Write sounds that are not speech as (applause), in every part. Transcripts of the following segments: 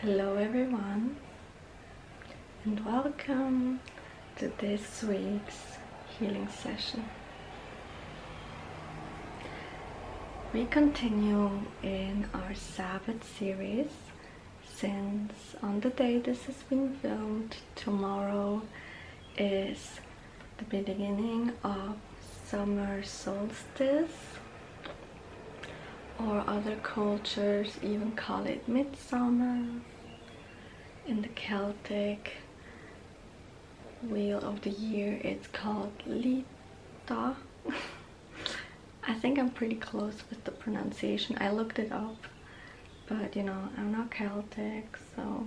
Hello everyone and welcome to this week's healing session. We continue in our Sabbath series since on the day this has been filmed, tomorrow is the beginning of summer solstice or other cultures even call it midsummer in the Celtic wheel of the year it's called Lita (laughs) I think I'm pretty close with the pronunciation I looked it up but you know I'm not Celtic so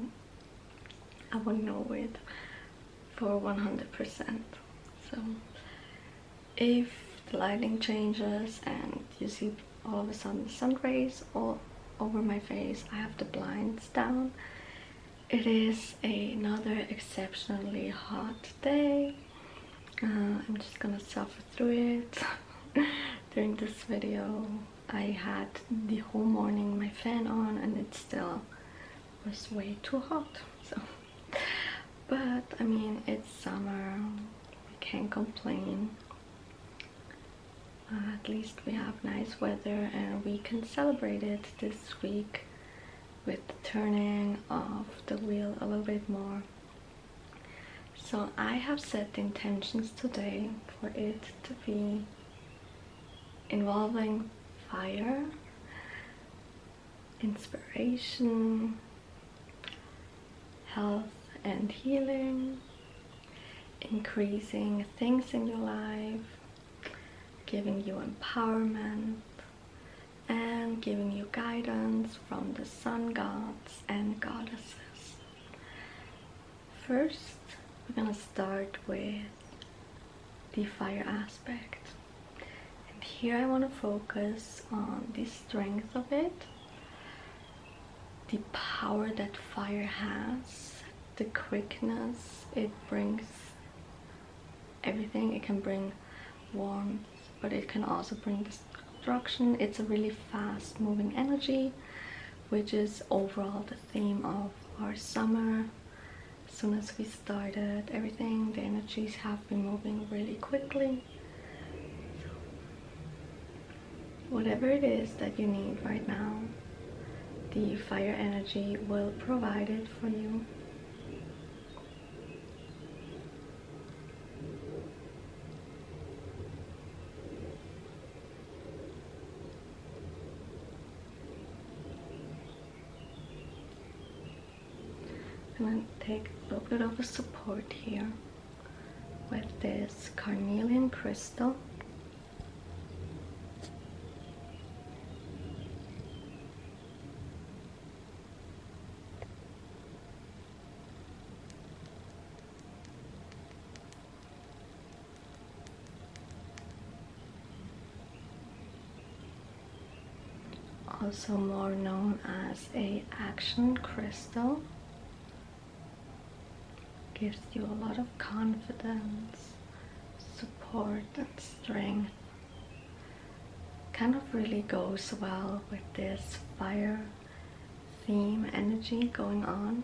I wouldn't know it for 100% so if the lighting changes and you see all of a sudden sun rays all over my face I have the blinds down it is another exceptionally hot day uh, I'm just gonna suffer through it (laughs) during this video I had the whole morning my fan on and it still was way too hot so but I mean it's summer we can't complain uh, at least we have nice weather and we can celebrate it this week with turning of the wheel a little bit more so I have set intentions today for it to be involving fire inspiration, health and healing, increasing things in your life, giving you empowerment and giving you guidance from the sun gods and goddesses. First, we're gonna start with the fire aspect and here I want to focus on the strength of it the power that fire has the quickness it brings everything it can bring warmth but it can also bring destruction it's a really fast moving energy which is overall the theme of our summer as soon as started everything the energies have been moving really quickly whatever it is that you need right now the fire energy will provide it for you I'm going to take a little bit of a support here with this carnelian crystal also more known as a action crystal gives you a lot of confidence support and strength kind of really goes well with this fire theme energy going on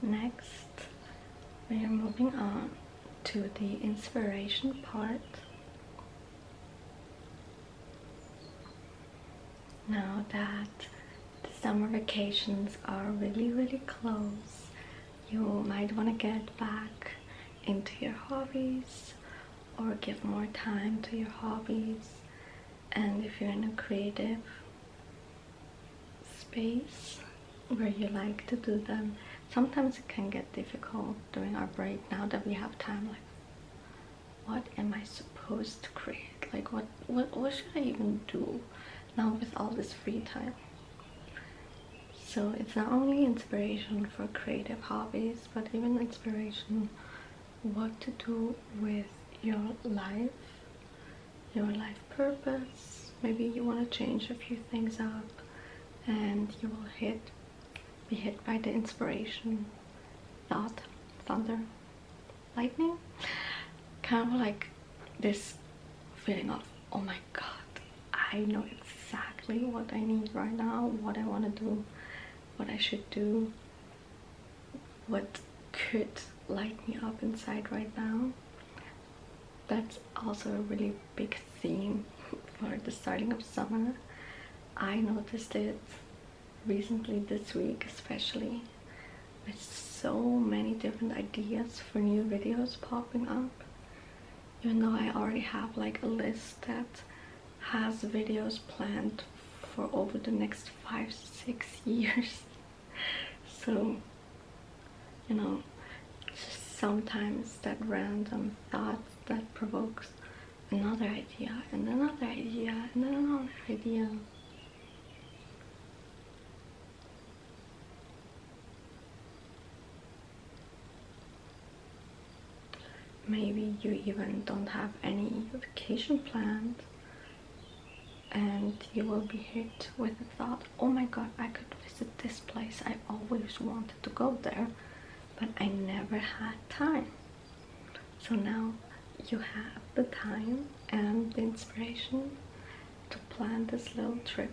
Next, we are moving on to the inspiration part. Now that the summer vacations are really, really close, you might want to get back into your hobbies or give more time to your hobbies and if you're in a creative space where you like to do them sometimes it can get difficult during our break now that we have time like what am i supposed to create like what what, what should i even do now with all this free time so it's not only inspiration for creative hobbies but even inspiration what to do with your life, your life purpose. Maybe you want to change a few things up and you will hit, be hit by the inspiration, thought, thunder, lightning. Kind of like this feeling of, oh my god, I know exactly what I need right now, what I want to do what I should do, what could light me up inside right now. That's also a really big theme (laughs) for the starting of summer. I noticed it recently this week especially with so many different ideas for new videos popping up even though I already have like a list that has videos planned for over the next five six (laughs) years so you know sometimes that random thought that provokes another idea and another idea and another idea maybe you even don't have any vacation plans, and you will be hit with the thought oh my god i could visit this place i always wanted to go there but i never had time so now you have the time and the inspiration to plan this little trip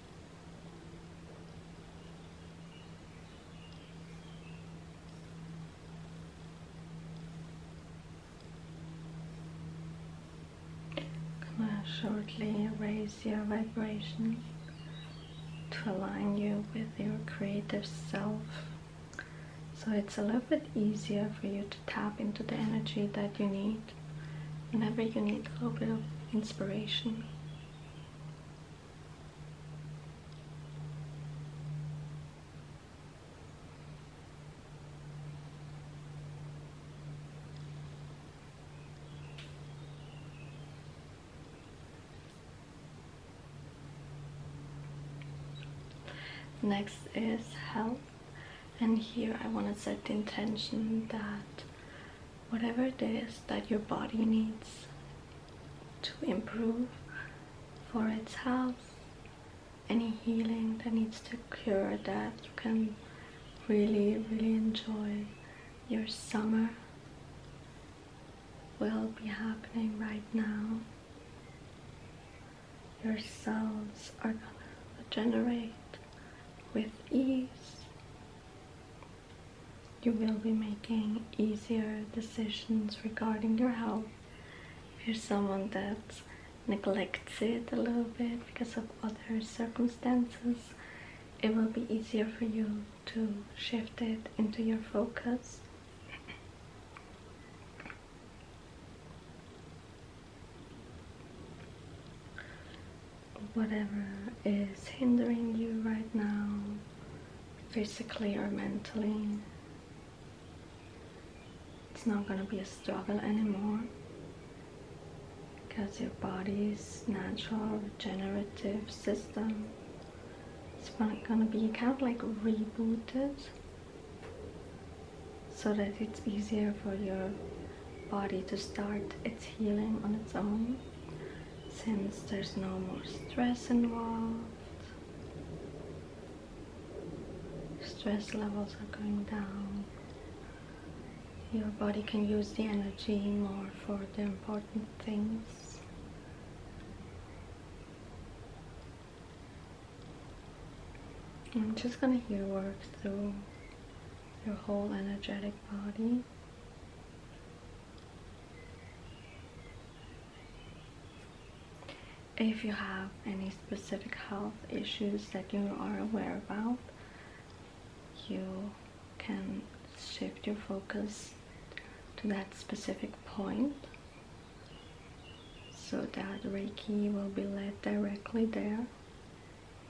Come on, shortly raise your vibration to align you with your creative self. So it's a little bit easier for you to tap into the energy that you need whenever you need a little bit of inspiration. Next is health and here I want to set the intention that whatever it is that your body needs to improve for its health any healing that needs to cure that you can really really enjoy your summer will be happening right now your cells are gonna regenerate with ease you will be making easier decisions regarding your health. If you're someone that neglects it a little bit because of other circumstances, it will be easier for you to shift it into your focus whatever is hindering you right now, physically or mentally. It's not going to be a struggle anymore because your body's natural regenerative system is going to be kind of like rebooted so that it's easier for your body to start its healing on its own since there's no more stress involved. Stress levels are going down. Your body can use the energy more for the important things. I'm just gonna hear work through your whole energetic body. If you have any specific health issues that you are aware about, you can shift your focus to that specific point so that Reiki will be led directly there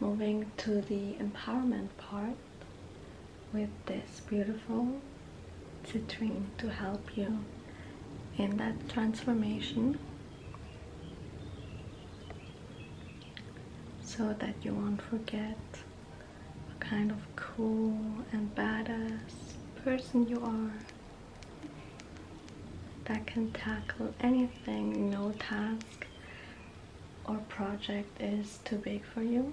Moving to the empowerment part with this beautiful citrine to help you in that transformation so that you won't forget what kind of cool and badass person you are that can tackle anything, no task or project is too big for you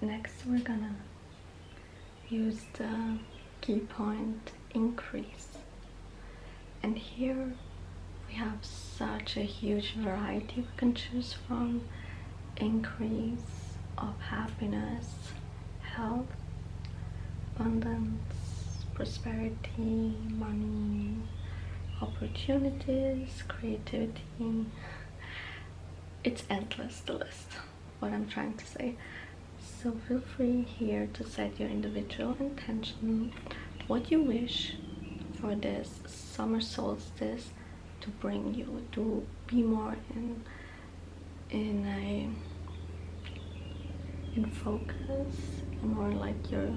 Next we're gonna use the key point increase and here we have such a huge variety we can choose from increase of happiness, health, abundance, prosperity, money, opportunities, creativity. It's endless, the list, what I'm trying to say. So feel free here to set your individual intention, what you wish for this summer solstice to bring you, to be more in, in a in focus more like your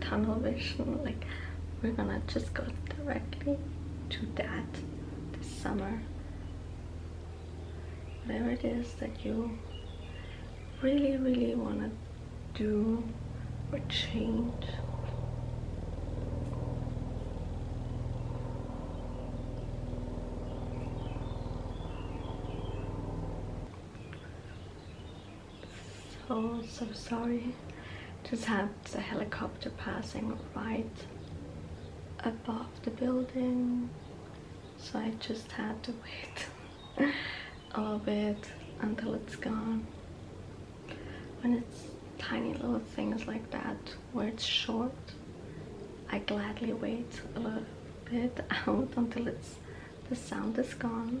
tunnel vision like we're gonna just go directly to that this summer whatever it is that you really really want to do or change so so sorry just had the helicopter passing right above the building so I just had to wait (laughs) a little bit until it's gone when it's tiny little things like that where it's short I gladly wait a little bit (laughs) out until it's the sound is gone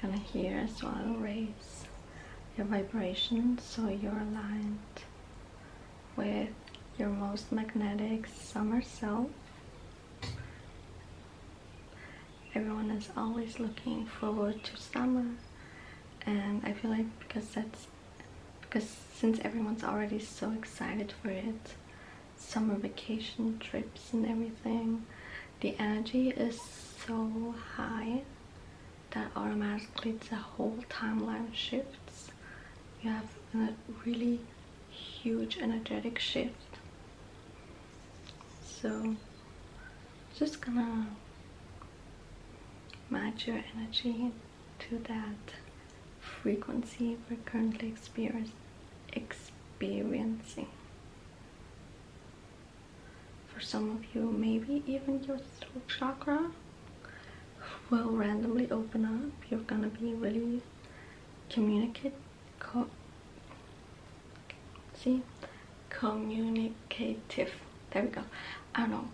Gonna hear a swallow raise your vibration so you're aligned with your most magnetic summer self everyone is always looking forward to summer and I feel like because that's because since everyone's already so excited for it summer vacation trips and everything the energy is so high that automatically the whole timeline shifts you have a really huge energetic shift so just gonna match your energy to that frequency we're currently experiencing. For some of you, maybe even your throat chakra will randomly open up. You're gonna be really communicative see communicative there we go I don't know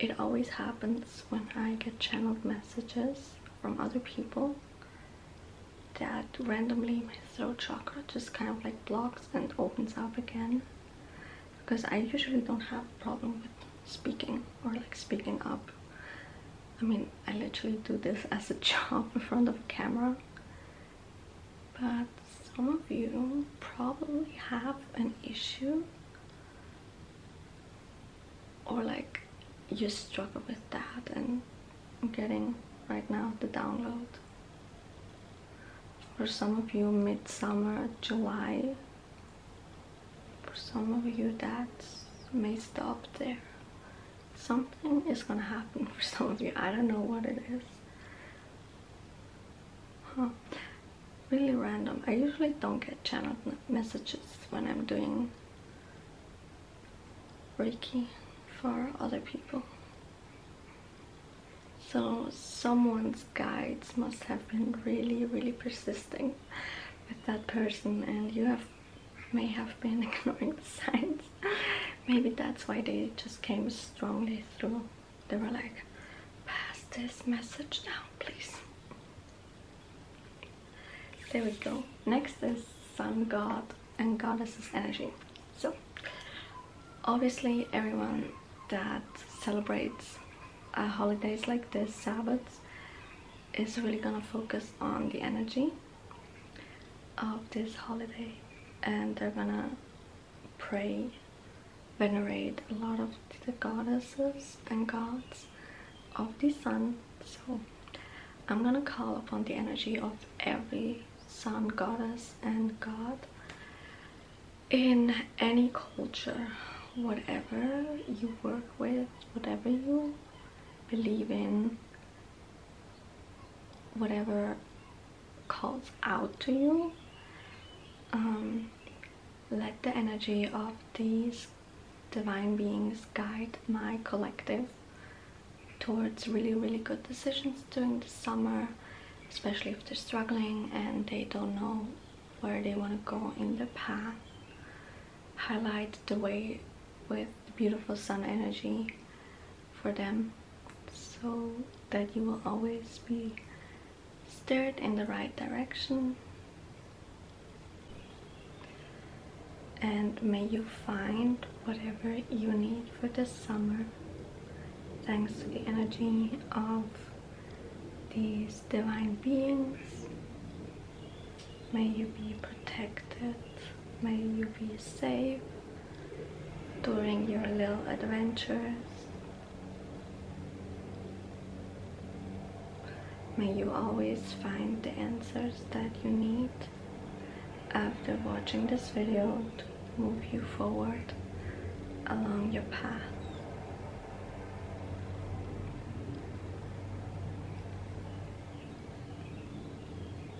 it always happens when I get channeled messages from other people that randomly my throat chakra just kind of like blocks and opens up again because I usually don't have a problem with speaking or like speaking up I mean I literally do this as a (laughs) job in front of a camera but some of you probably have an issue or like you struggle with that and getting right now the download for some of you midsummer july for some of you that may stop there something is gonna happen for some of you i don't know what it is really random i usually don't get channel messages when i'm doing reiki for other people so someone's guides must have been really really persisting with that person and you have may have been (laughs) ignoring the signs (laughs) Maybe that's why they just came strongly through. They were like, pass this message down, please. There we go. Next is sun god and Goddesses energy. So, obviously everyone that celebrates uh, holidays like this, Sabbaths, is really gonna focus on the energy of this holiday and they're gonna pray, venerate a lot of the goddesses and gods of the sun. So I'm gonna call upon the energy of every sun goddess and god in any culture, whatever you work with, whatever you believe in, whatever calls out to you um, let the energy of these divine beings guide my collective towards really really good decisions during the summer especially if they're struggling and they don't know where they want to go in the path highlight the way with beautiful sun energy for them so that you will always be stirred in the right direction and may you find whatever you need for this summer thanks to the energy of these divine beings may you be protected May you be safe during your little adventures. May you always find the answers that you need after watching this video to move you forward along your path.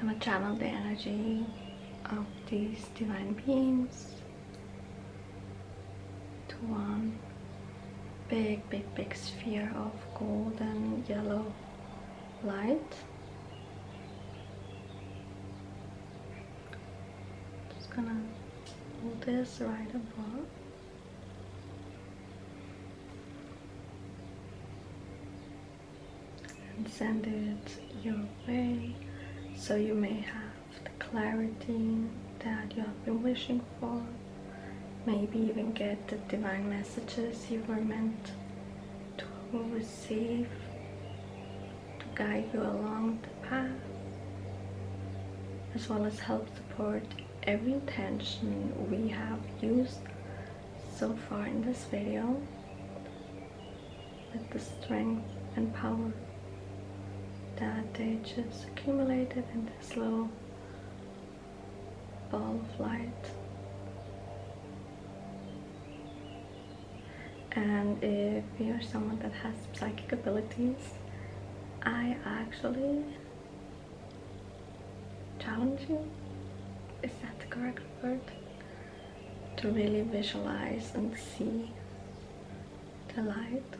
I'm gonna channel the energy of these divine beings to one big big big sphere of golden yellow light just gonna hold this right above and send it your way so you may have the clarity that you have been wishing for maybe even get the divine messages you were meant to receive to guide you along the path as well as help support every intention we have used so far in this video with the strength and power that they just accumulated in this little ball of light and if you're someone that has psychic abilities I actually challenge you is that the correct word to really visualize and see the light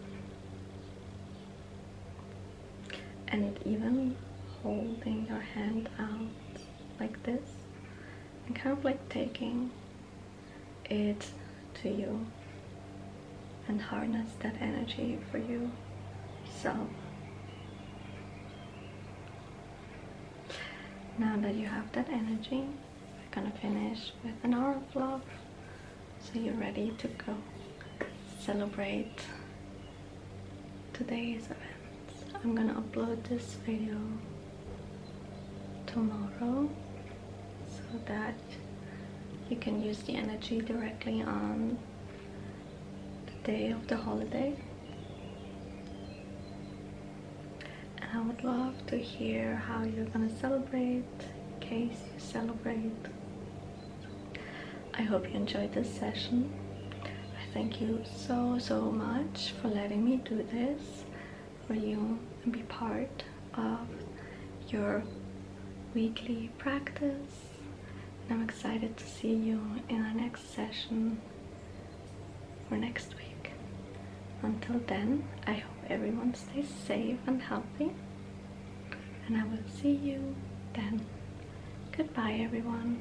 and even holding your hand out like this and kind of like taking it to you and harness that energy for you. So now that you have that energy, we're gonna finish with an hour of love. So you're ready to go celebrate today's events. I'm gonna upload this video tomorrow so that you can use the energy directly on the day of the holiday. And I would love to hear how you're gonna celebrate, in case you celebrate. I hope you enjoyed this session. I thank you so so much for letting me do this for you and be part of your weekly practice and I'm excited to see you in our next session for next week until then I hope everyone stays safe and healthy and I will see you then goodbye everyone